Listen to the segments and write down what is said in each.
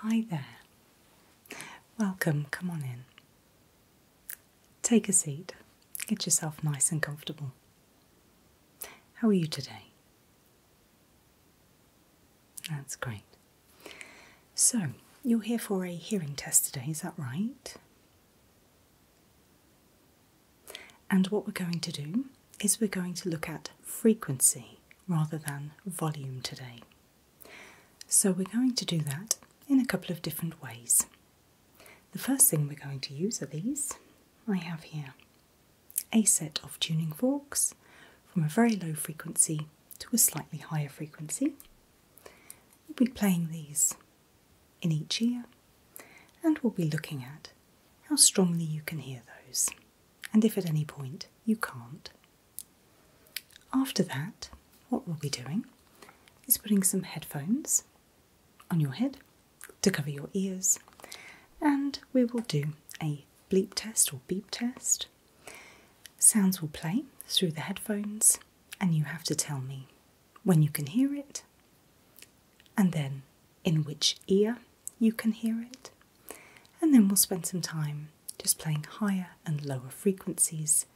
Hi there. Welcome, come on in. Take a seat, get yourself nice and comfortable. How are you today? That's great. So, you're here for a hearing test today, is that right? And what we're going to do is we're going to look at frequency rather than volume today. So we're going to do that in a couple of different ways. The first thing we're going to use are these. I have here a set of tuning forks from a very low frequency to a slightly higher frequency. We'll be playing these in each ear and we'll be looking at how strongly you can hear those and if at any point you can't. After that, what we'll be doing is putting some headphones on your head to cover your ears, and we will do a bleep test or beep test. Sounds will play through the headphones, and you have to tell me when you can hear it and then in which ear you can hear it. And then we'll spend some time just playing higher and lower frequencies.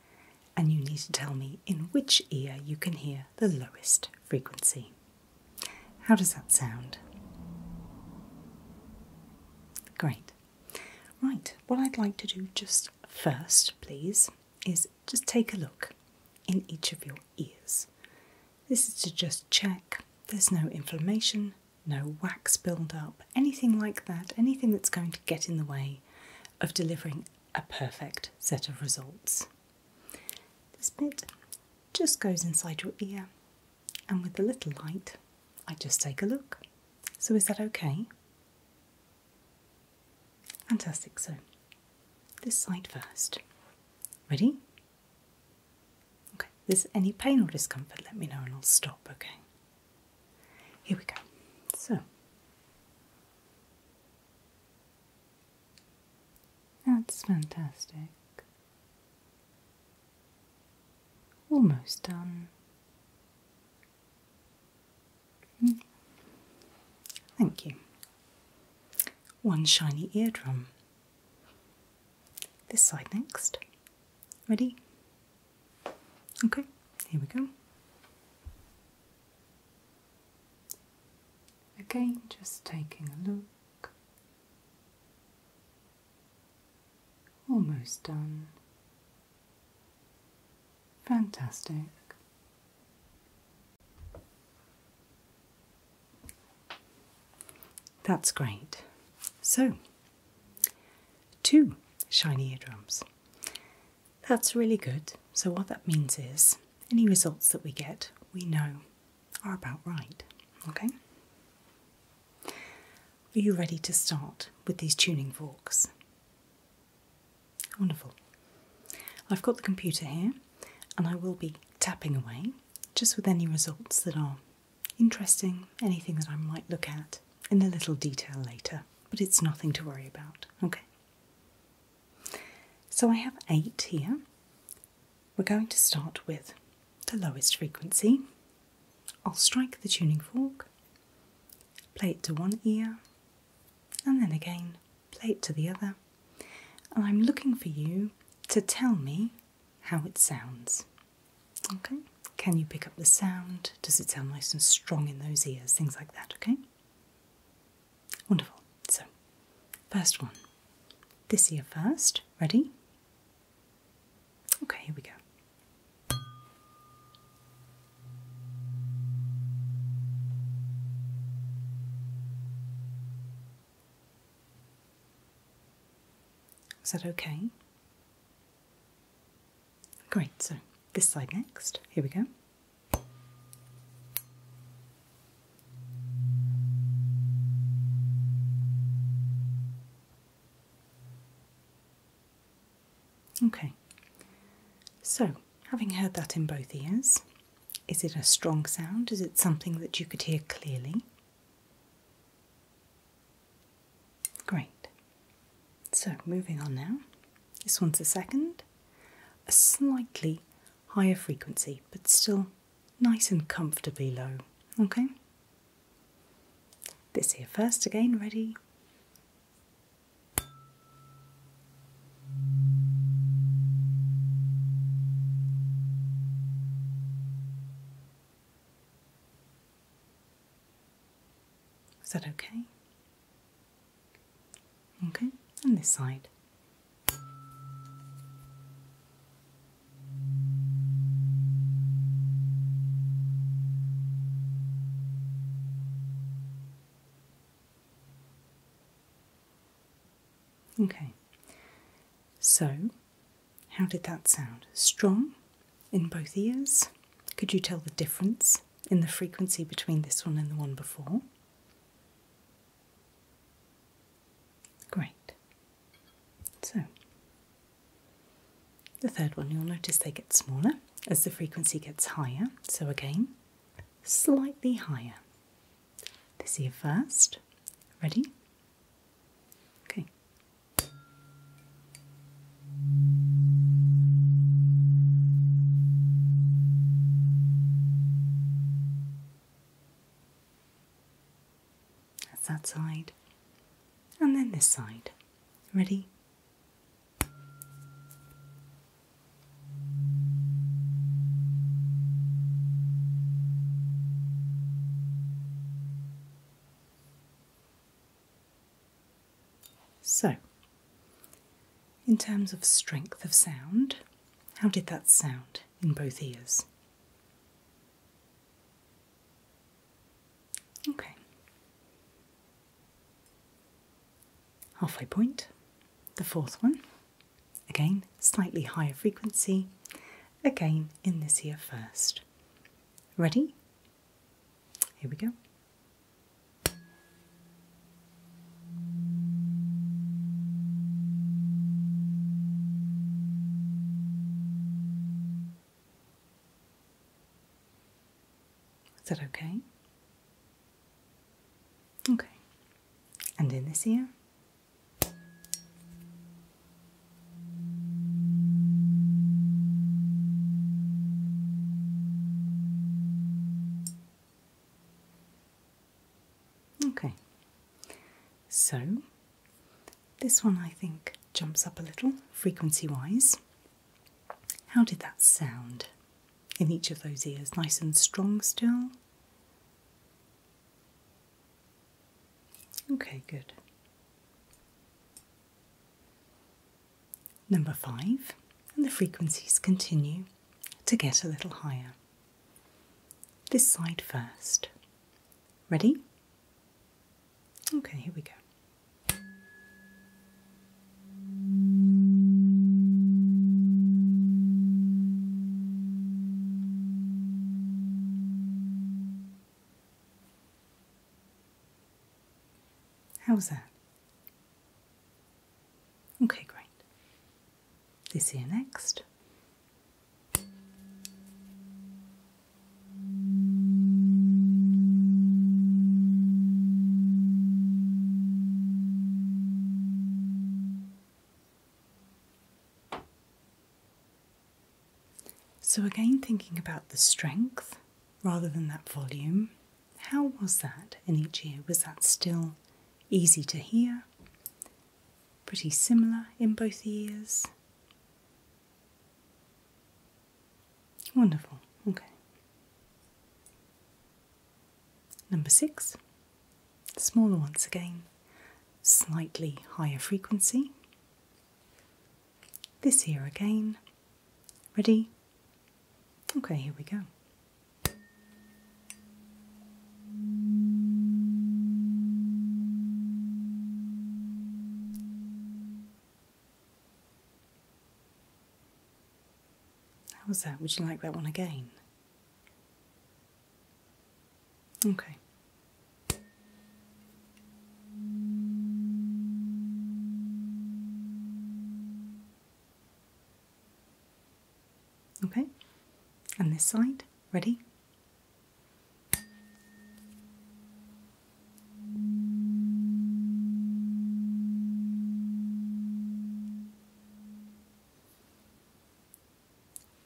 And you need to tell me in which ear you can hear the lowest frequency. How does that sound? Great. Right, what I'd like to do just first, please, is just take a look in each of your ears. This is to just check there's no inflammation, no wax buildup, anything like that, anything that's going to get in the way of delivering a perfect set of results. This bit just goes inside your ear, and with a little light, I just take a look. So, is that okay? Fantastic. So, this side first. Ready? Okay, if there's any pain or discomfort, let me know and I'll stop, okay? Here we go. So, that's fantastic. Almost done. Hmm. Thank you. One shiny eardrum. This side next. Ready? Okay, here we go. Again, just taking a look. Almost done. Fantastic. That's great. So, two shiny eardrums. That's really good. So, what that means is any results that we get, we know are about right. Okay? Are you ready to start with these tuning forks? Wonderful. I've got the computer here and I will be tapping away just with any results that are interesting, anything that I might look at in a little detail later, but it's nothing to worry about. Okay. So I have eight here. We're going to start with the lowest frequency. I'll strike the tuning fork, play it to one ear, and then again play it to the other. And I'm looking for you to tell me how it sounds. Okay? Can you pick up the sound? Does it sound nice and strong in those ears? Things like that, okay? Wonderful. So, first one. This ear first. Ready? Okay, here we go. Is that okay? Great, so this side next. Here we go. Okay, so having heard that in both ears, is it a strong sound? Is it something that you could hear clearly? Great. So moving on now. This one's a second, a slightly higher frequency, but still nice and comfortably low. Okay? This here first again, ready? Is that okay? Okay, and this side. Okay, so how did that sound? Strong in both ears? Could you tell the difference in the frequency between this one and the one before? Great. So, the third one, you'll notice they get smaller as the frequency gets higher. So, again, slightly higher. This ear first. Ready? Okay, that's that side, and then this side. Ready? So, in terms of strength of sound, how did that sound in both ears? Okay. Halfway point, the fourth one. Again, slightly higher frequency. Again, in this ear first. Ready? Here we go. Is that okay? Okay. And in this ear. Okay, so this one I think jumps up a little frequency wise. How did that sound in each of those ears? Nice and strong still? Okay, good. Number five, and the frequencies continue to get a little higher. This side first. Ready? Okay, here we go. How's that? Okay, great. They see you next. So, again, thinking about the strength rather than that volume, how was that in each ear? Was that still easy to hear? Pretty similar in both ears? Wonderful, okay. Number six, smaller once again, slightly higher frequency. This here again. Ready? Okay, here we go. How was that? Would you like that one again? Okay. Okay, and this side, ready?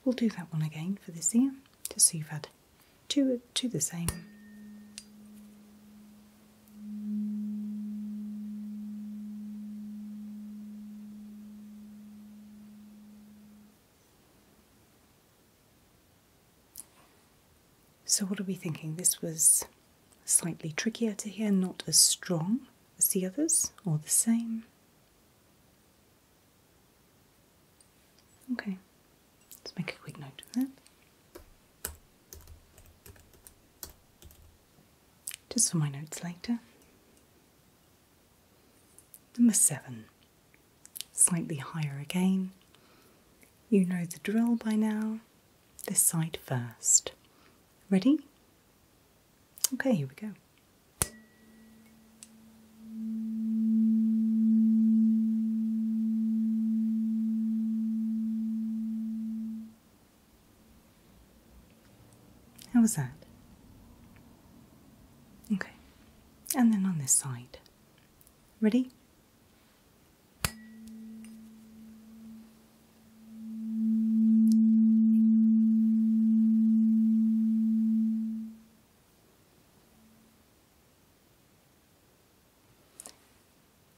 We'll do that one again for this ear just so you've had two, two the same. So, what are we thinking? This was slightly trickier to hear, not as strong as the others, or the same. Okay, let's make a quick note of that. Just for my notes later. Number seven, slightly higher again. You know the drill by now. This side first. Ready? Okay, here we go. How was that? Okay, and then on this side. Ready?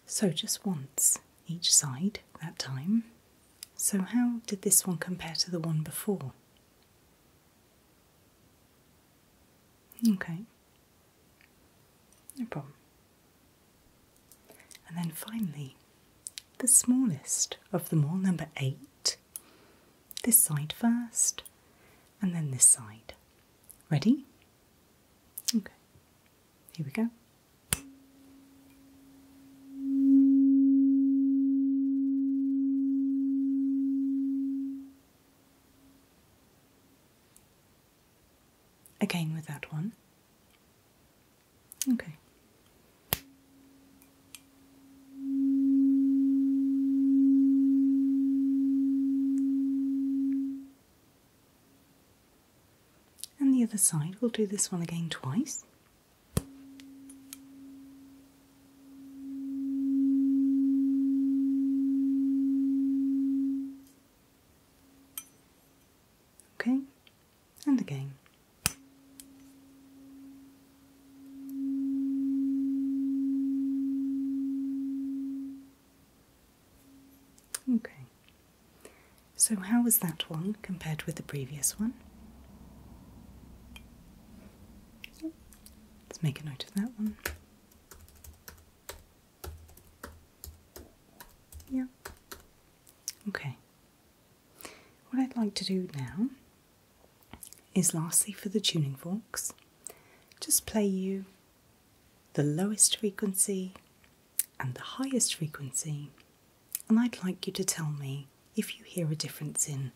So just once each side that time. So, how did this one compare to the one before? Okay, no problem. And then finally, the smallest of them all, number eight. This side first, and then this side. Ready? Okay, here we go. Again with that one. Okay. And the other side, we'll do this one again twice. Okay, and again. Okay. So, how was that one compared with the previous one? Let's make a note of that one. Yeah. Okay. What I'd like to do now is lastly for the tuning forks, just play you the lowest frequency and the highest frequency, and I'd like you to tell me if you hear a difference in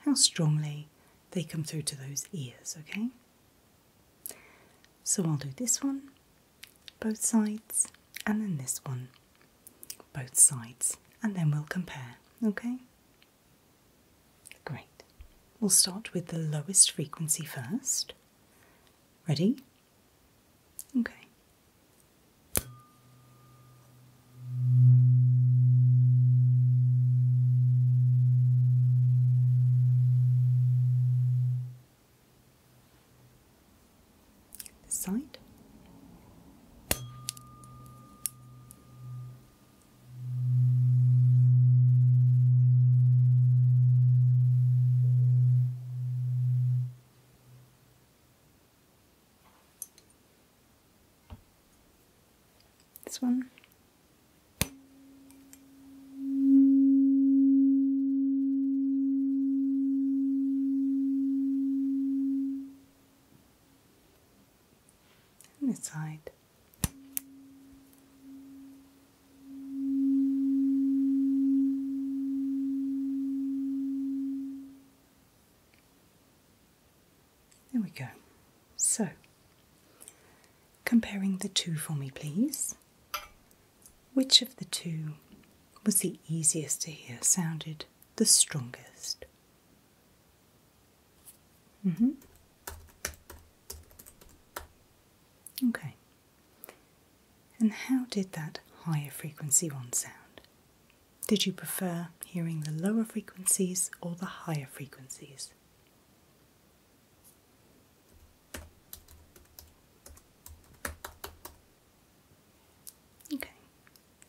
how strongly they come through to those ears, okay? So I'll do this one, both sides, and then this one, both sides, and then we'll compare, okay? Great. We'll start with the lowest frequency first. Ready? Okay. This side. This one. And this side. There we go. So, comparing the two for me, please. Which of the two was the easiest to hear, sounded the strongest? Mm -hmm. Okay. And how did that higher frequency one sound? Did you prefer hearing the lower frequencies or the higher frequencies? Okay,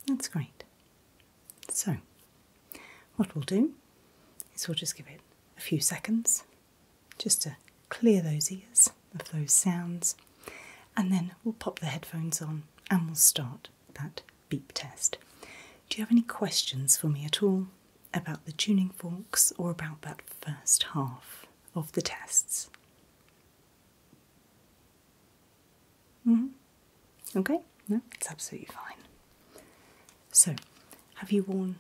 that's great. So, what we'll do is we'll just give it a few seconds just to clear those ears of those sounds. And then we'll pop the headphones on and we'll start that beep test. Do you have any questions for me at all about the tuning forks or about that first half of the tests? -hmm. Okay, no, it's absolutely fine. So, have you worn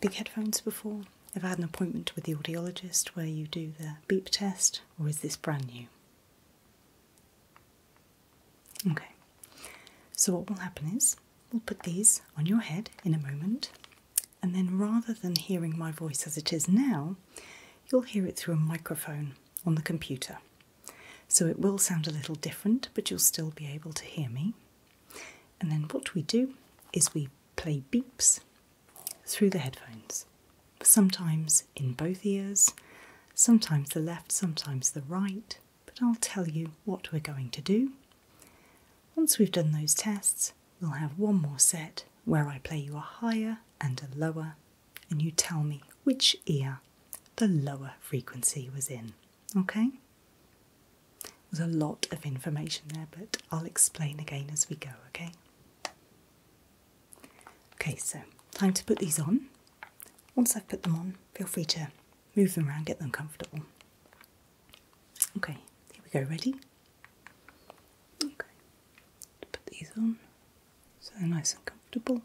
big headphones before? Have I had an appointment with the audiologist where you do the beep test, or is this brand new? Okay, so what will happen is we'll put these on your head in a moment, and then rather than hearing my voice as it is now, you'll hear it through a microphone on the computer. So it will sound a little different, but you'll still be able to hear me. And then what we do is we play beeps through the headphones, sometimes in both ears, sometimes the left, sometimes the right. But I'll tell you what we're going to do. Once we've done those tests, we'll have one more set where I play you a higher and a lower, and you tell me which ear the lower frequency was in. Okay? There's a lot of information there, but I'll explain again as we go, okay? Okay, so time to put these on. Once I've put them on, feel free to move them around, get them comfortable. Okay, here we go, ready? Okay, put these on so they're nice and comfortable.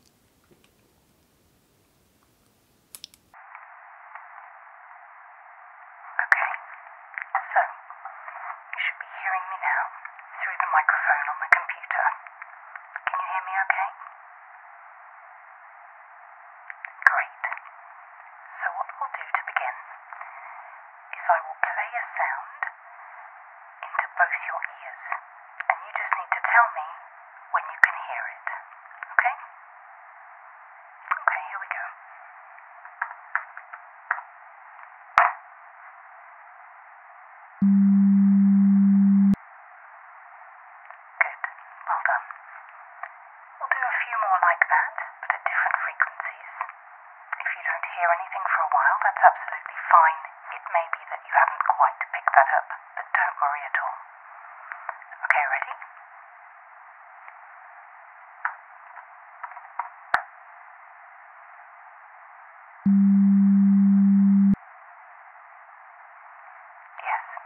Okay, so you should be hearing me now through the microphone on the computer. Can you hear me okay? Great. So, what we'll do to begin is I will play a sound into both your ears, and you just need to tell me when you can hear it. Okay? Okay, here we go. Good. Well done. We'll do a few more like that, but at different frequencies. If you don't hear anything for a while, that's absolutely fine. It may be that you haven't quite picked that up, but don't worry at all. Okay, ready? Yes,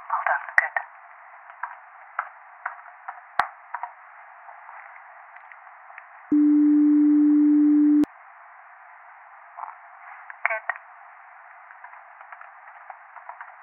well done, good. Good.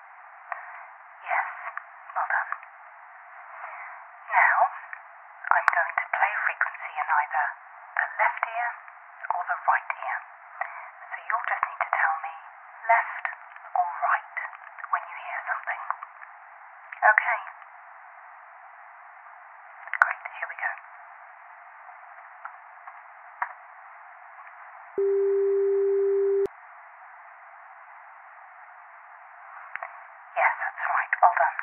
Yes, well done. Now, I'm going to play a frequency in either the left ear or the right ear. So you'll just need to tell me left or right when you hear something. Okay. Great, here we go. Yes, that's right. Well done.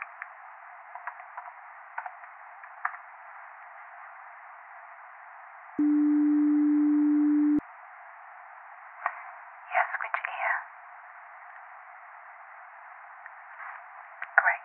Yes, which ear? Great.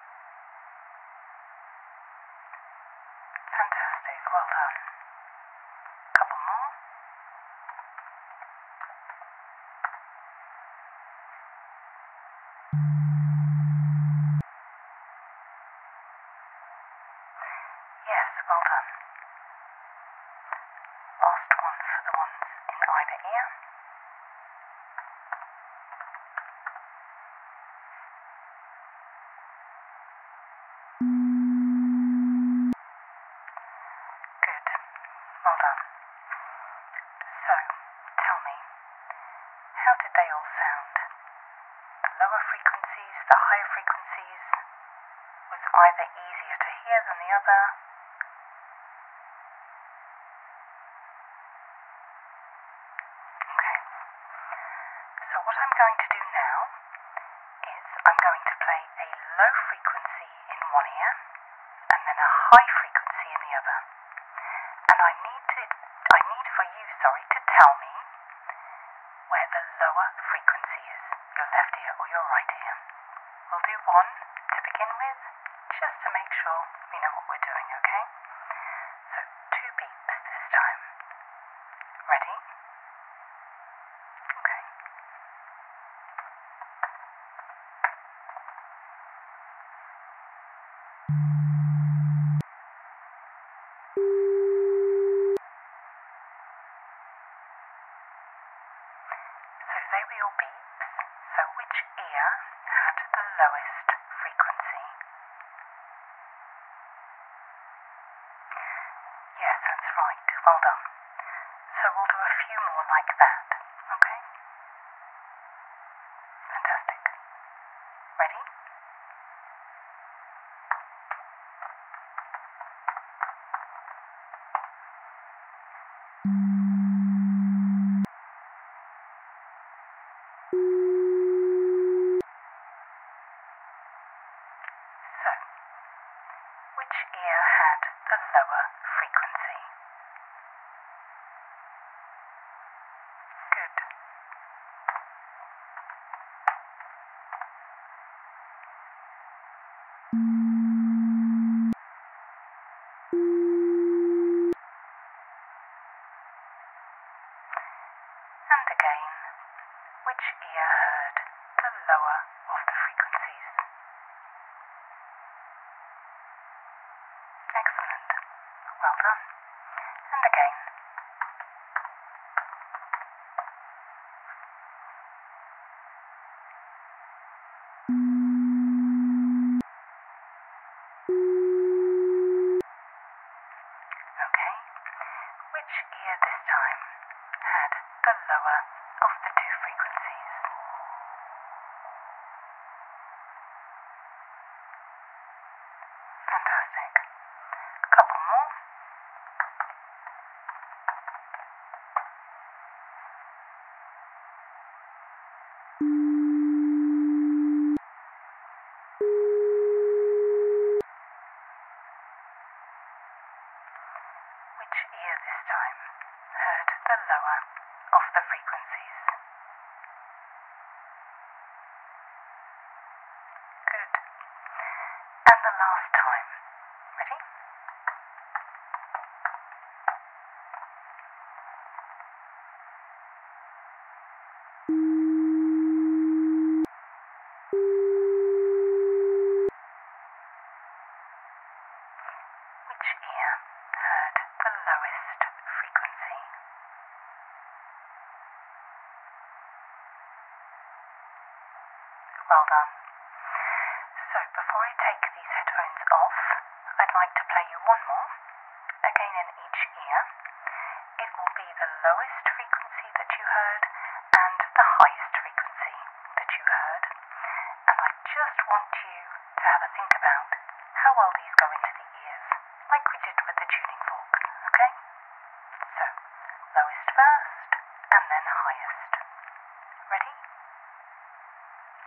Fantastic, well done. Couple more. Yes, well done. Last one for the ones in either ear. Good. Well done. So, tell me, how did they all sound? The lower frequencies, the higher frequencies? Was either easier to hear than the other? Okay. So what I'm going to do now is I'm going to play a low frequency in one ear and then a high frequency in the other. And I need to I need for you, sorry, to tell me where the lower frequency is, your left ear or your right ear. We'll do one to begin with just to make sure we know what we're doing, okay? So, two beeps this time. Ready? Okay. So, they were your beeps. So which ear had the lowest frequency? Yes, that's right. Well done. So we'll do a few more like that, okay? Fantastic. Ready? So, which ear had the lower frequency? Good. And again, which ear heard the lower of the frequencies? Excellent. Well done. And again. Okay, which gear this time had the lower of the two frequencies? Fantastic. A couple more. Which ear this time heard the lower of the frequencies? Good. And the last time. Ready? Which ear heard the lowest frequency? Well done. So, before I take these headphones off, I'd like to play you one more again in each ear. It will be the lowest frequency that you heard and the highest frequency that you heard. And I just want you to have a think about how well these go into the ears, like we did with the tuning fork, okay? So, lowest first and then highest. Ready?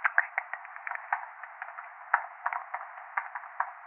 Okay,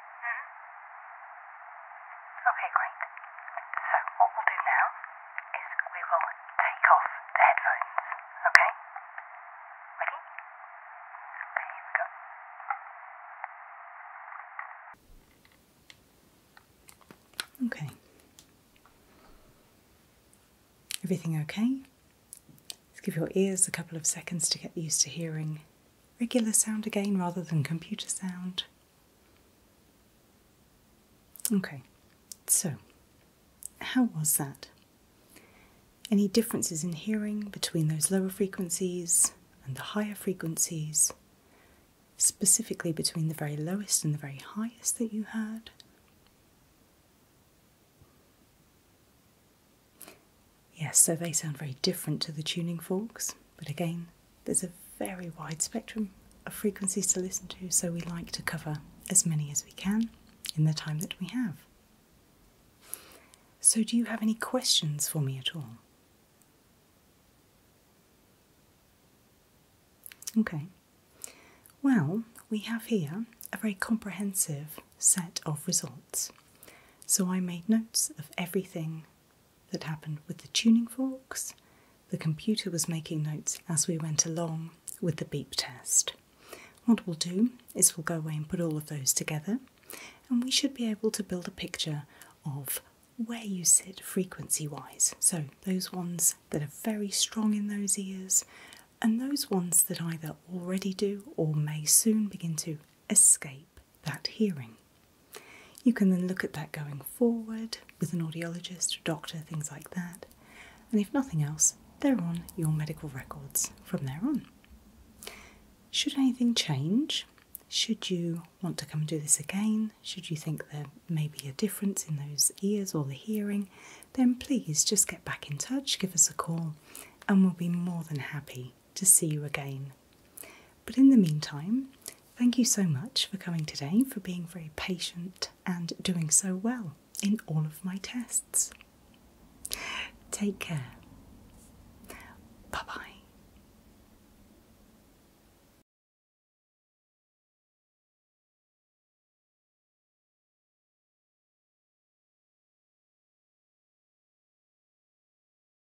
Hmm? Okay, great. So, what we'll do now is we will take off the headphones, okay? Ready? here we go. Okay. Everything okay? give your ears a couple of seconds to get used to hearing regular sound again rather than computer sound. Okay, so how was that? Any differences in hearing between those lower frequencies and the higher frequencies? Specifically between the very lowest and the very highest that you heard? Yes, so they sound very different to the tuning forks, but again, there's a very wide spectrum of frequencies to listen to, so we like to cover as many as we can in the time that we have. So, do you have any questions for me at all? Okay. Well, we have here a very comprehensive set of results. So I made notes of everything that happened with the tuning forks. The computer was making notes as we went along with the beep test. What we'll do is we'll go away and put all of those together, and we should be able to build a picture of where you sit frequency wise. So, those ones that are very strong in those ears, and those ones that either already do or may soon begin to escape that hearing. You can then look at that going forward with an audiologist, doctor, things like that. And if nothing else, they're on your medical records from there on. Should anything change, should you want to come and do this again, should you think there may be a difference in those ears or the hearing, then please just get back in touch, give us a call, and we'll be more than happy to see you again. But in the meantime, thank you so much for coming today, for being very patient and doing so well in all of my tests. Take care. Bye bye.